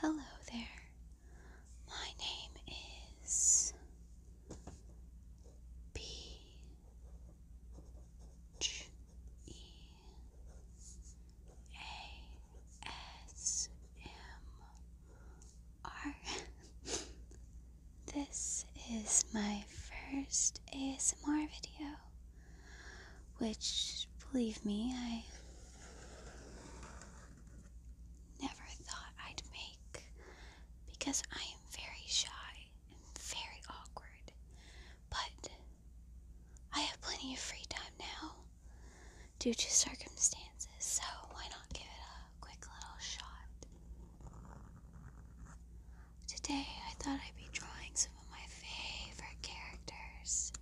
Hello there. My name is Peach This is my first ASMR video, which, believe me, I never thought I'd make because I am very shy and very awkward. But I have plenty of free time now due to circumstances, so why not give it a quick little shot? Today I thought I'd be drawing some of my favorite characters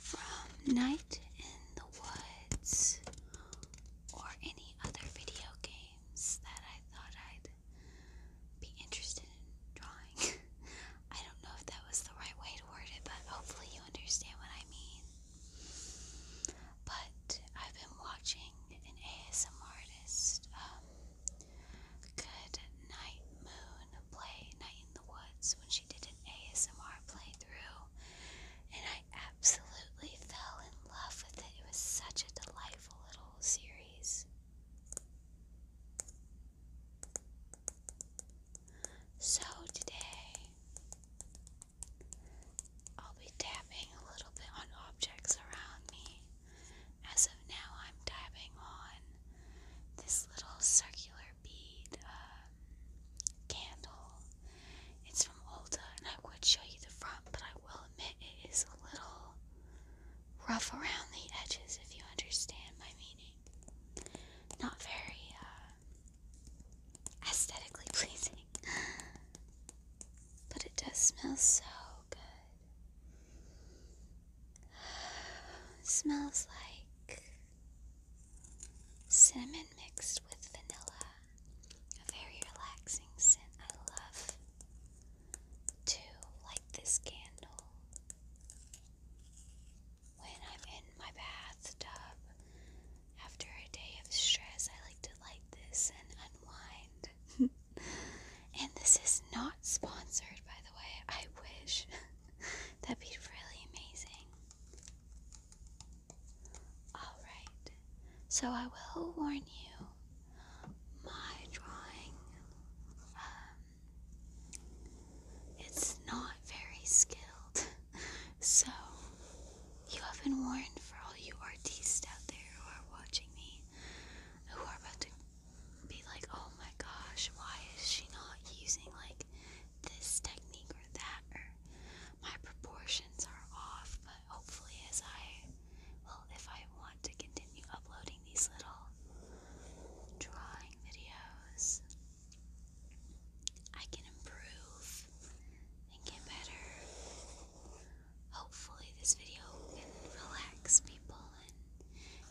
from Night in the Woods or any other video games that I thought I'd be interested in drawing. I don't know if that was the right way to word it, but hopefully you understand what I mean. But I've been watching an ASM artist um, Good Night Moon play Night in the Woods when she did an ASMR playthrough, and I absolutely fell in love with it. It was such a delightful little series. So, today I'll be tapping a little bit on objects around me as of now, I'm dabbing on this little circular bead um, candle. It's from Ulta, and I would show you the front, but I will admit it is a little rough around the edges, if you understand my meaning. Not very uh, aesthetically pleasing, but it does smell so good. Smells like cinnamon mixed with vanilla. A very relaxing scent. I love to light this candle when I'm in my bathtub. After a day of stress, I like to light this and unwind. And this is not sponsored, by the way. I wish. That'd be really amazing. Alright, so I will warn you my drawing, um, it's not very skilled. So, you have been warned for all you artists out there who are watching me, who are about to be like, oh my gosh, why is she not using like this technique or that? Or my proportions are off, but hopefully, as I well, if I want to continue uploading these little drawing videos, I can improve and get better. Hopefully, this video can relax people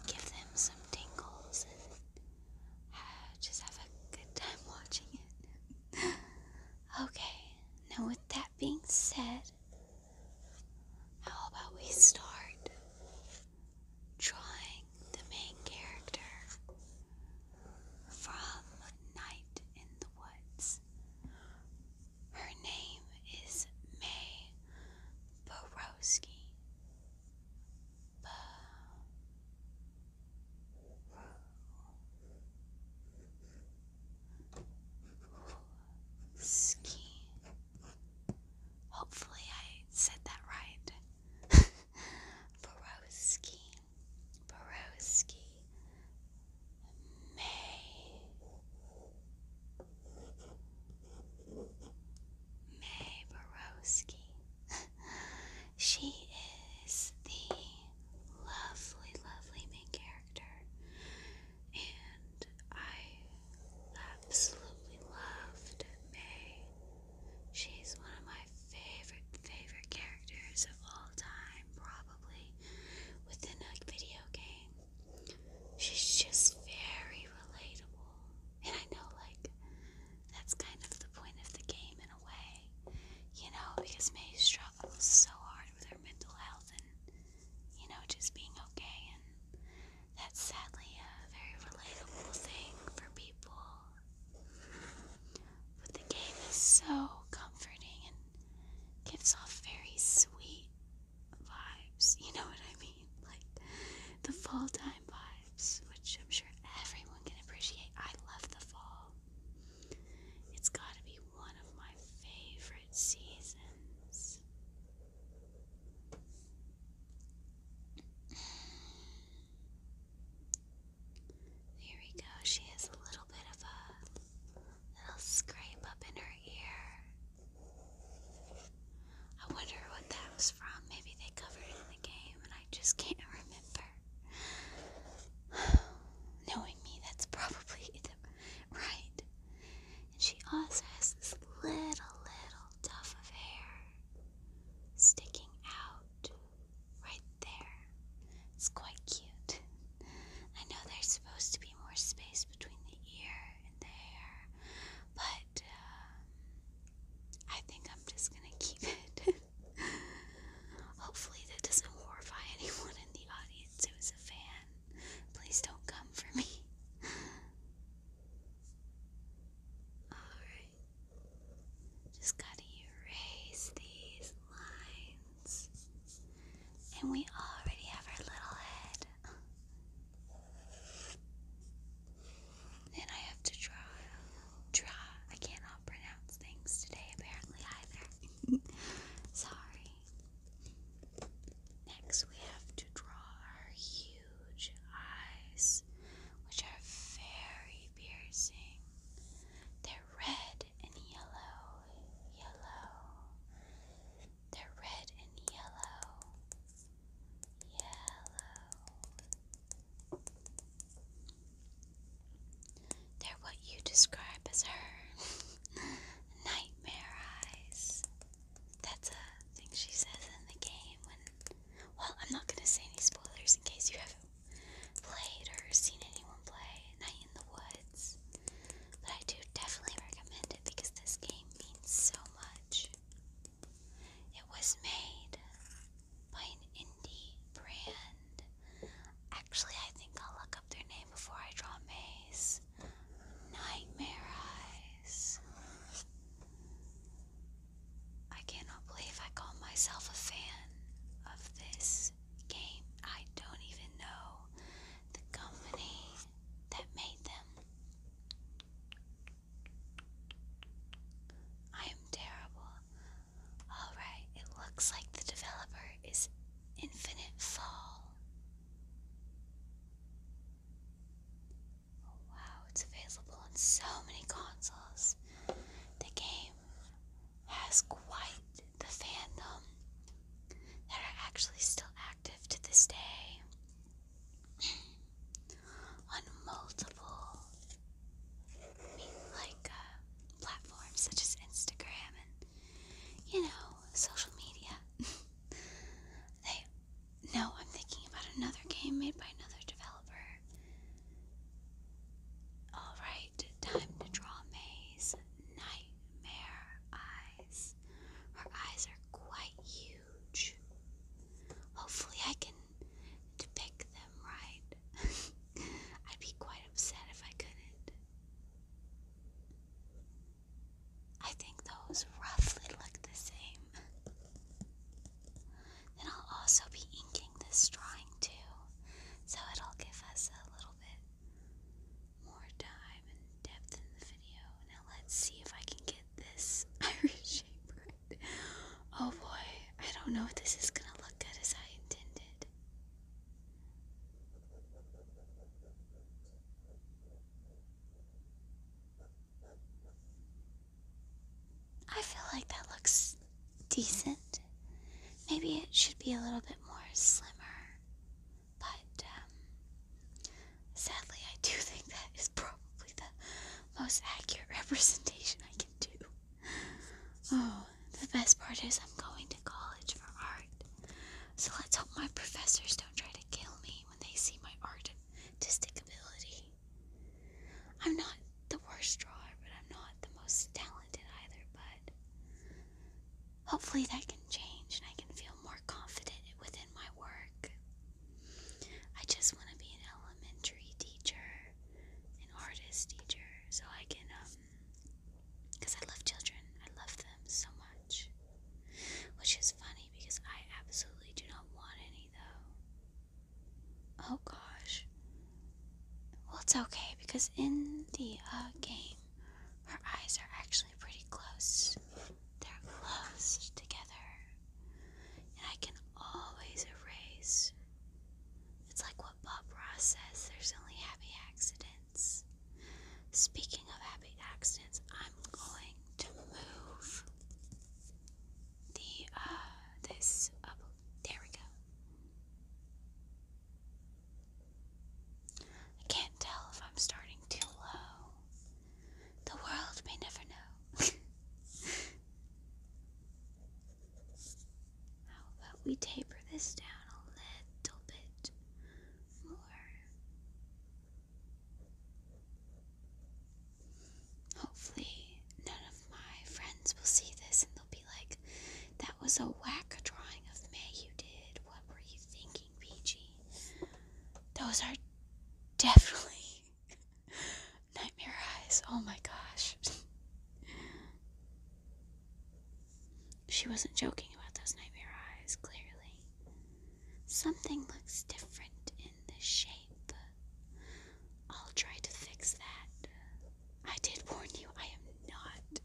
give them some tingles and just have a good time watching it. okay, now with that being said, how about we start drawing the main character from Night in the Woods? Her name is May Borowski. Bo Hopefully, I said that right. Borowski. Borowski. May. May Borowski. she is the lovely, lovely main character, and I absolutely loved May. She's one of my favorite, favorite characters of all time, probably within a video game she's just very relatable. And I know, like, that's kind of the point of the game in a way, you know, because May struggles so hard with her mental health and, you know, just being okay. And that's sadly a very relatable thing for people. But the game is so comforting and gives off very sweet vibes, you know what I mean? Like the fall time vibes, which I'm sure everyone can appreciate. I love the fall. It's got to be one of my favorite seasons. There we go. She has a little bit of a little scrape up in her ear. I wonder what that was from. Maybe they covered it in the game and I just can't remember. Knowing me, that's probably it. Right. And she also has this little, little tuft of hair sticking out right there. It's quite cute. I know they're supposed to be more space between the ear and the hair, but uh, I think I'm just gonna keep it. Hopefully, that doesn't horrify anyone in the audience who is a fan. Please don't come for me. Alright. Just gotta erase these lines. And we already have our little head. Then I have to draw. Draw. I cannot pronounce things today, apparently, either. Sorry. Next, we have to draw our huge eyes, which are very piercing. They're red and yellow, yellow, they're red and yellow. Yellow. They're what you describe as her nightmare eyes. That's a thing she says in the game when well, I'm not gonna say any spoilers in case you haven't played or seen anyone play Night in the Woods. But I do definitely recommend it because this game means so much. It was made by an indie brand. Actually, I think I'll look up their name before I draw Maze. Nightmare Eyes. I cannot believe I call myself a fan of this game. I don't even know the company that made them. I am terrible. Alright, it looks like the developer is Infinite Fall. Oh, wow, it's available on so many consoles. The game has quite the fandom that are actually still active to this day on multiple like uh, platforms such as Instagram and you know social media. no, I'm thinking about another game made by another developer. All right, time to draw maze nightmare. I her eyes are quite huge. Hopefully, I can depict them right. I'd be quite upset if I couldn't. I think those roughly look the same. Then I'll also be inking this drawing too, so it'll give us a little bit more time and depth in the video. Now let's see if I can get this Irish shape right. Oh boy, I don't know if this is gonna look good as I intended. I feel like that looks decent. Maybe it should be a little bit more slimmer. But um, sadly, I do think that is probably the most accurate representation I can do. Oh, the best part is I'm going to college for art. So let's hope my professors don't try to kill me when they see my artistic ability. I'm not the worst drawer, but I'm not the most talented either, but Hopefully, that can change and I can feel more confident within my work. I just want to be an elementary teacher, an artist teacher, so I can, um, because I love children, I love them so much. Which is funny because I absolutely do not want any, though. Oh gosh. Well, it's okay because in the uh, game, her eyes are actually pretty close. They're close together. And I can always erase. It's like what Bob Ross says there's only happy accidents. Speaking of happy accidents, I'm going to move the, uh, this up. There we go. I can't tell if I'm starting too low the world may never know. How about we taper this down a little bit more? Hopefully, none of my friends will see this and they'll be like, that was a whack drawing of May you did. What were you thinking? peachy. Those are definitely nightmare eyes. Oh my gosh. she wasn't joking about those nightmare eyes, clearly. Something looks different in the shape. I'll try to fix that. I did warn you, I am not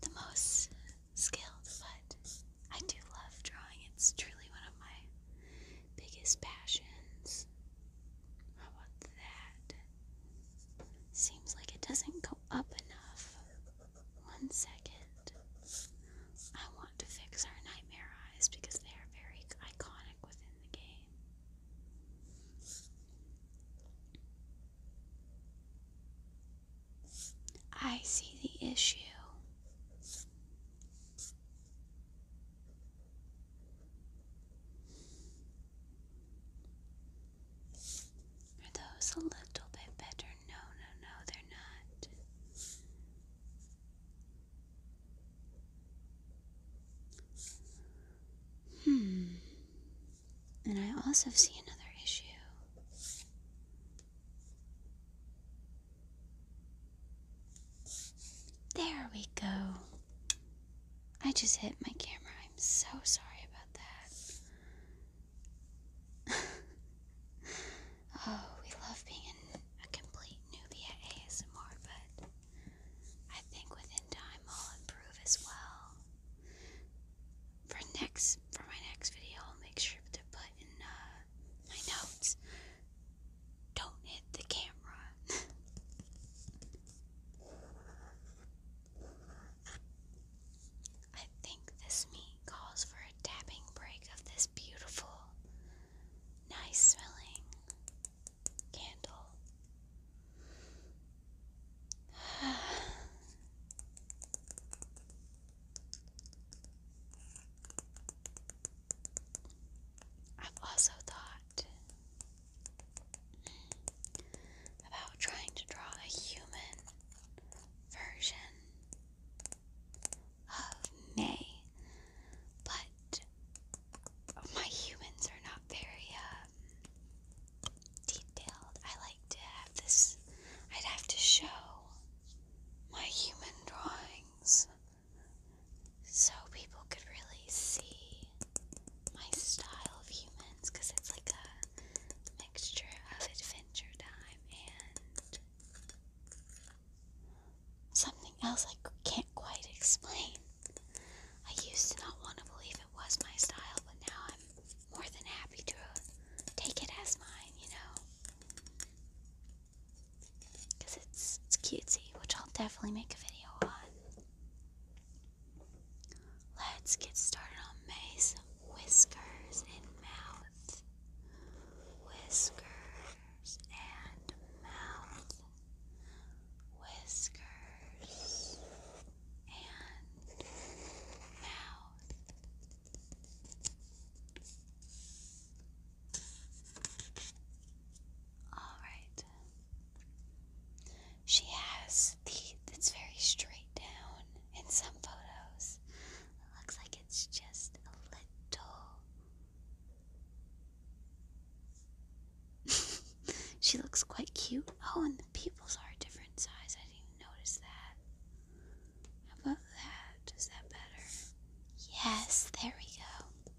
the most skilled, but I do love drawing. It's truly one of my biggest passions. How about that? Seems like it doesn't go up enough. One second. I want to fix our nightmare eyes because they are very iconic within the game. I see the issue. Are those a little bit better? No, no, no, they're not. Hmm. And I also see another issue. There we go. I just hit my camera. I'm so sorry about that. oh, we love being a complete newbie at ASMR, but I think within time I'll improve as well for next for my next video, I'll make sure to put in uh, my notes. Don't hit the camera. I think this meat calls for a tapping break of this beautiful, nice smelling candle. I've also thought about trying to draw a human version of May, but my humans are not very um, detailed. I like to have this, I'd have to show my human drawings so people could really see my style of humans because it's like a mixture of adventure time and something else I can't quite explain. I used to not want to believe it was my style, but now I'm more than happy to take it as mine, you know? it's, it's cutesy, which I'll definitely make a video on. Let's get started on May's whiskers and mouth. Whiskers and mouth. Whiskers and mouth. All right. She has teeth that's very straight down in some photos. looks like it's just a little. she looks quite cute. Oh, and the pupils are different size. I didn't even notice that. How about that? Is that better? Yes, there we go.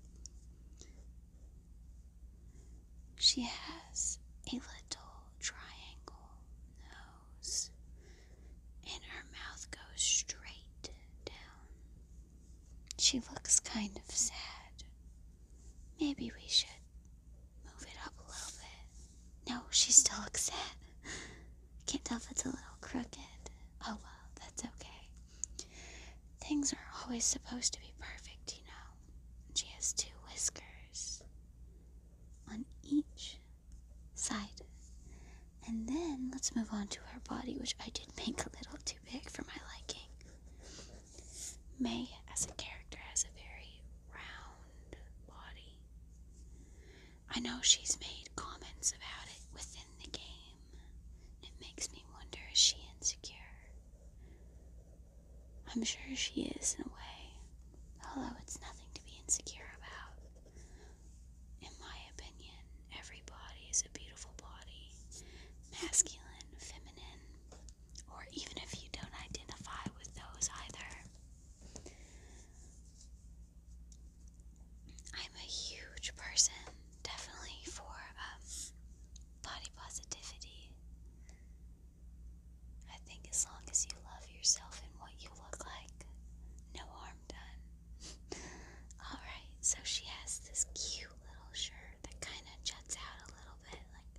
She has a little triangle nose, and her mouth goes straight down. She looks kind of sad. Maybe we should move it up a little bit. No, she still looks sad. Can't tell if it's a little crooked. Oh well, that's okay. Things are always supposed to be perfect, you know. She has two whiskers on each side. And then let's move on to her body, which I did make a little too big for my liking. May, as a character, has a very round body. I know she's made comments about it within the game. It makes me wonder is she insecure? I'm sure she is in a way, although it's nothing to be insecure about. In my opinion, every body is a beautiful body masculine, feminine, or even if you don't identify with those either. I'm a huge person, definitely for um, body positivity. I think as long as you love yourself and what you look like, no harm done. Alright, so she has this cute little shirt that kind of juts out a little bit, like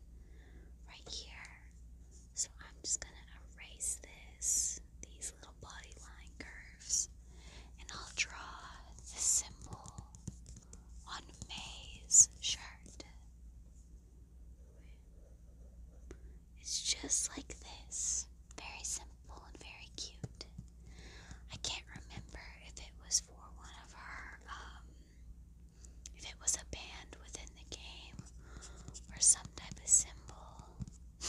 right here. So I'm just going to erase this, these little body line curves, and I'll draw the symbol on May's shirt. It's just like this. Very simple and very cute. I can't remember if it was for one of her, um, if it was a band within the game or some type of symbol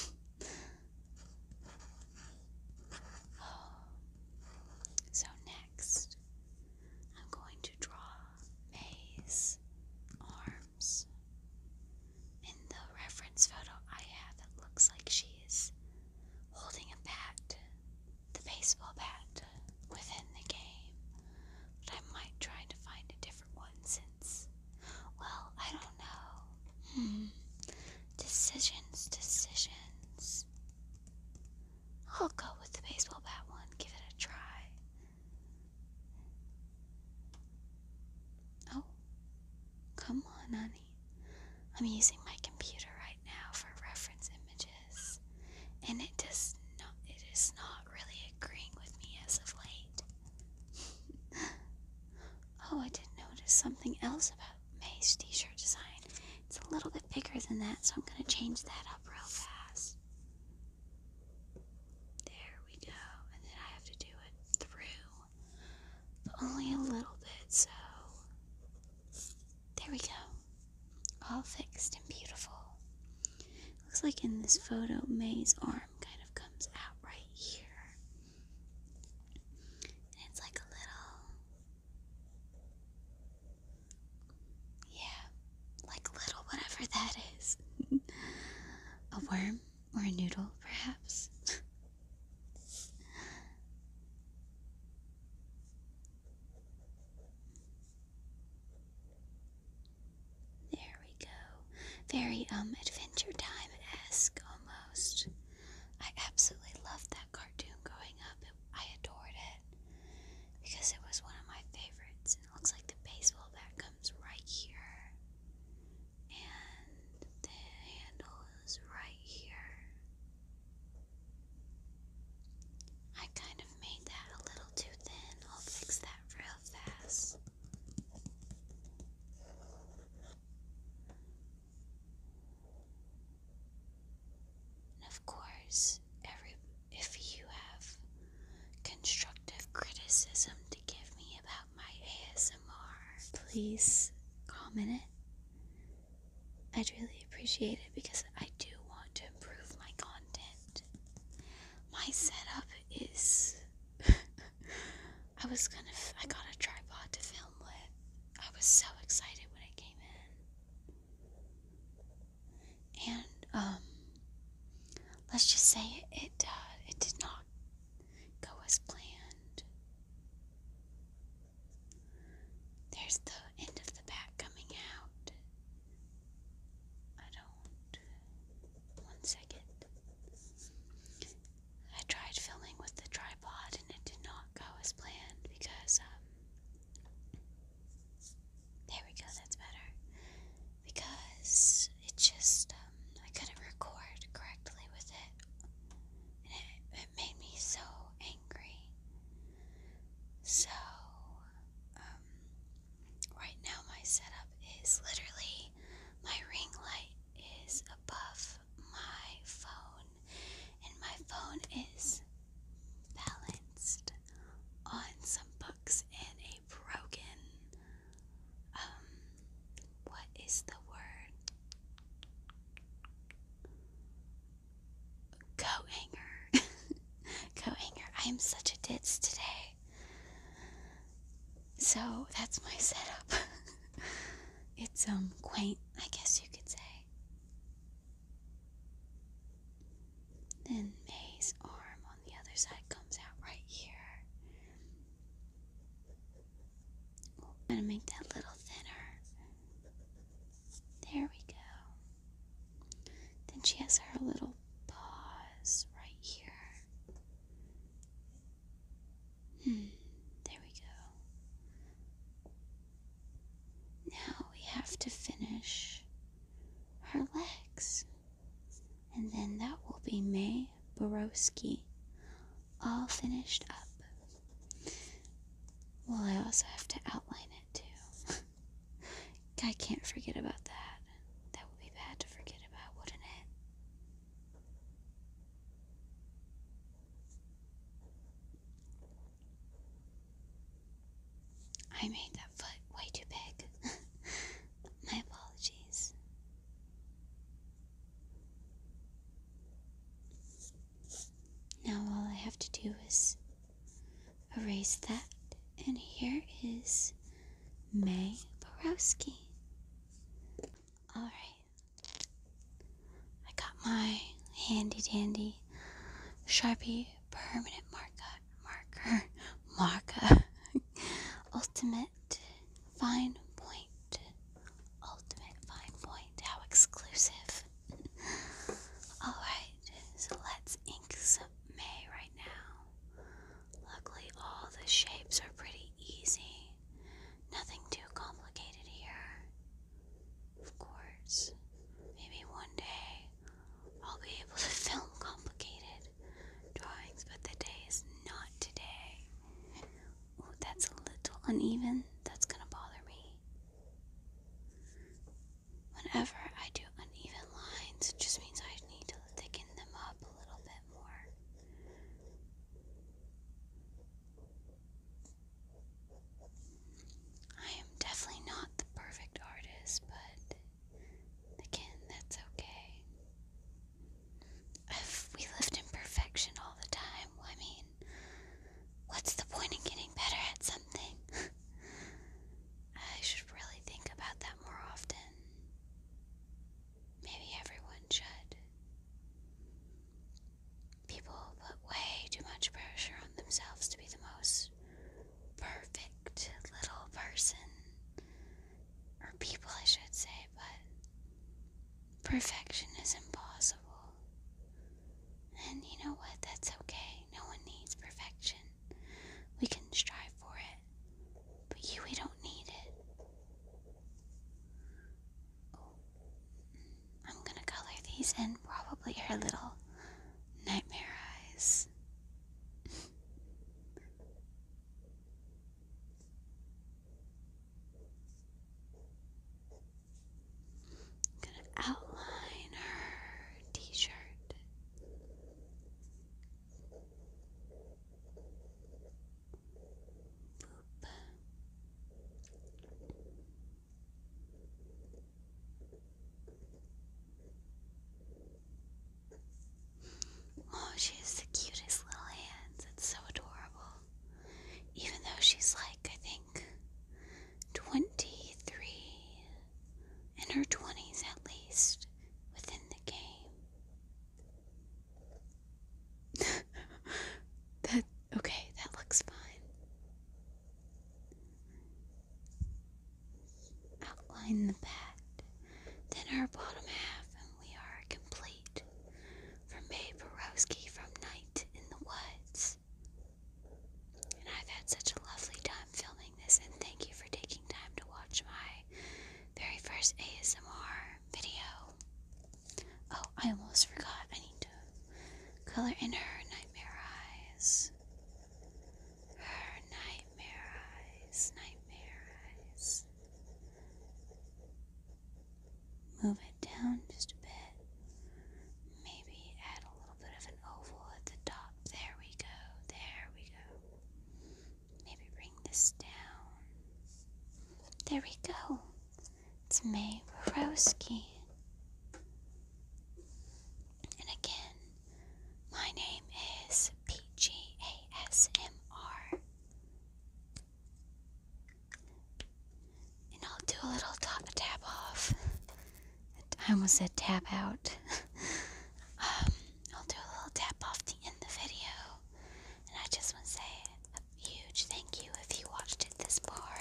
So next, I'm going to draw May's arms. In the reference photo I have, it looks like she's holding a bat, the baseball bat, within the game. But I might try to find a different one since well, I don't know. Hmm. Decisions, decisions. I'll go with the baseball bat one. Give it a try. Oh, come on, honey. I'm using my computer right now for reference images, and it does not. It is not really agreeing with me as of late oh, I did notice something else about May's t shirt design. It's a little bit bigger than that, so I'm going to change that up real fast. There we go. And then I have to do it through, but only a little bit, so. There we go. All fixed and beautiful. Looks like in this photo, May's arm kind of comes out right here. And it's like a little. Yeah, like little whatever that is. a worm or a noodle, perhaps. There we go. Very um adventure time esque almost. I absolutely loved that cartoon growing up. I adored it because it was one of my favorites. And it looks like the baseball bat comes right here, and the handle is right here. I kind of made that a little too thin. I'll fix that for fast. And of course, every if you have constructive criticism to give me about my ASMR, please comment it. I'd really appreciate it because I do want to improve my content. My setup is I was gonna, f- I got a tripod to film with. I was so excited when I came in. And, um, let's just say it, uh, it did not go as planned. There's the end of the back coming out. I don't one second. I tried filming with the tripod and it did not go as planned because, um, there we go, that's better. Because it just, um, I couldn't record correctly with it. And it, it made me so angry. So, um, Right now, my setup is literally my ring light is above my phone, and my phone is balanced on some books and a broken. Um, what is the word? Coat hanger. Coat hanger. I am such a ditz today. So that's my setup. it's um quaint, I guess you could say. Then May's arm on the other side comes out right here. We'll kind of make that little thinner. There we go. Then she has her little pause right here. Hmm, there we go. Now we have to finish her legs. And then that will be May Borowski, all finished up. Well, I also have to outline it too. I can't forget about that that. would be bad to forget about, wouldn't it? I made that foot way too big. My apologies. Now, all I have to do is erase that, and here is May Borowski. Alright. I got my handy dandy Sharpie permanent marker marker marker ultimate fine point ultimate fine point how exclusive all right so let's ink May right now Luckily, all the shapes are pretty easy. Nothing too complicated here. Of course, maybe one day I'll be able to film complicated drawings, but the day is not today. Ooh, that's a little uneven. That's gonna bother me. Whenever I do uneven lines, it just means I need to thicken them up a little bit more. I am definitely not the perfect artist, but again, that's okay. If we lived in perfection all the time, I mean, what's the point in getting better at something? I should really think about that more often. Maybe everyone should. People put way too much pressure on themselves to be the most perfect little person. Or people, I should say, but perfection is impossible. And you know what? That's okay. No one needs perfection. We can strive for it, but you, we don't need it. Oh, I'm gonna color these in probably her little nightmare eyes. gonna outline her t shirt. Oh, she has the cutest little hands. It's so adorable. Even though she's like, I think, 23 in her 20s at least, within the game. that, okay, that looks fine. Outline the bat, then our bottom half, and we are complete. From Babe Borowski from Night in the Woods. And I've had such a lovely time filming this, and thank you for taking time to watch my very first ASMR video. Oh, I almost forgot. I need to color in her nightmare eyes. Her nightmare eyes. Nightmare eyes. Move it down just a bit. Maybe add a little bit of an oval at the top. There we go. There we go. Maybe bring this down. There we go. It's May Borowski. And again, my name is PGASMR. And I'll do a little top tap off. I almost said tap out. Um, I'll do a little tap off to end the video. And I just want to say a huge thank you if you watched it this far,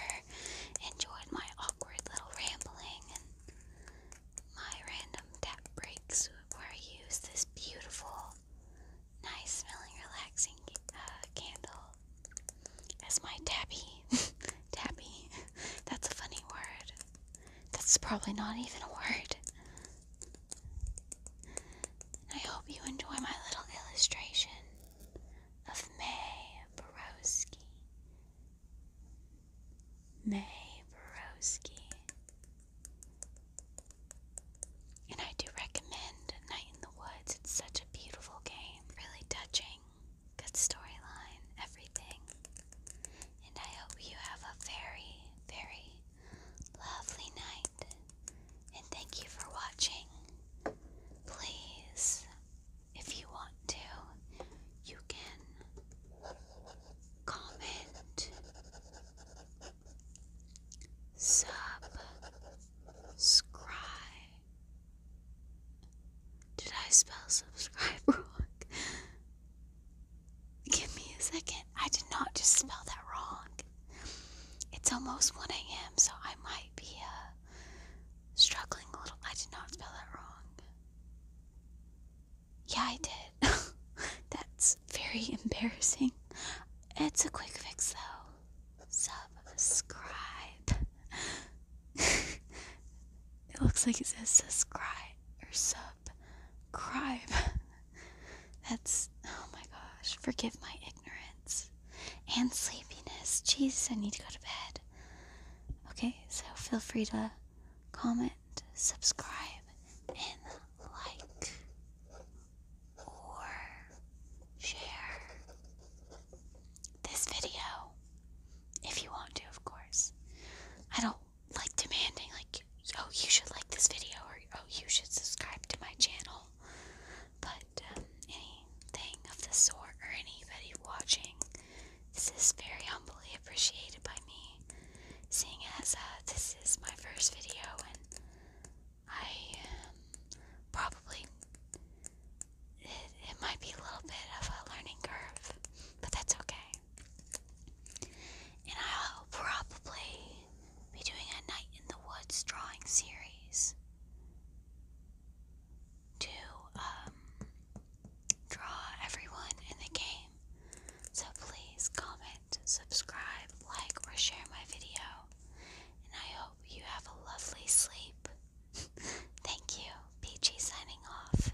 enjoyed my awkward little rambling and my random tap breaks where I use this beautiful, nice smelling, relaxing uh, candle as my tabby. tabby. That's a funny word. That's probably not even a word. I hope you enjoy my little illustration of May Borowski. May Borowski. And I do recommend Night in the Woods. It's such a beautiful game. Really touching. Good storyline. Everything and I hope you have a very, very lovely night. And thank you for watching. Please, if you want to, you can comment, subscribe. Did I spell subscribe wrong? Give me a second. I did not just spell that wrong. It's almost 1 a.m., so I might be uh, struggling a little. I did not spell that wrong. Yeah, I did. That's very embarrassing. It's a quick fix, though. Subscribe. it looks like it says subscribe or sub up That's oh my gosh. Forgive my ignorance and sleepiness. Jesus, I need to go to bed. Okay, so feel free to comment, subscribe, and like or share this video if you want to, of course. I don't like demanding like oh you should like this video or oh you should subscribe to my channel but um, anything of the sort or anybody watching this is very humbly appreciated by me seeing as uh, this is my first video and I um, probably it might be a little bit of a learning curve but that's okay and I'll probably be doing a Night in the Woods drawing series to um, draw everyone in the game. So please comment, subscribe, like, or share my video. And I hope you have a lovely sleep. Thank you. PG signing off.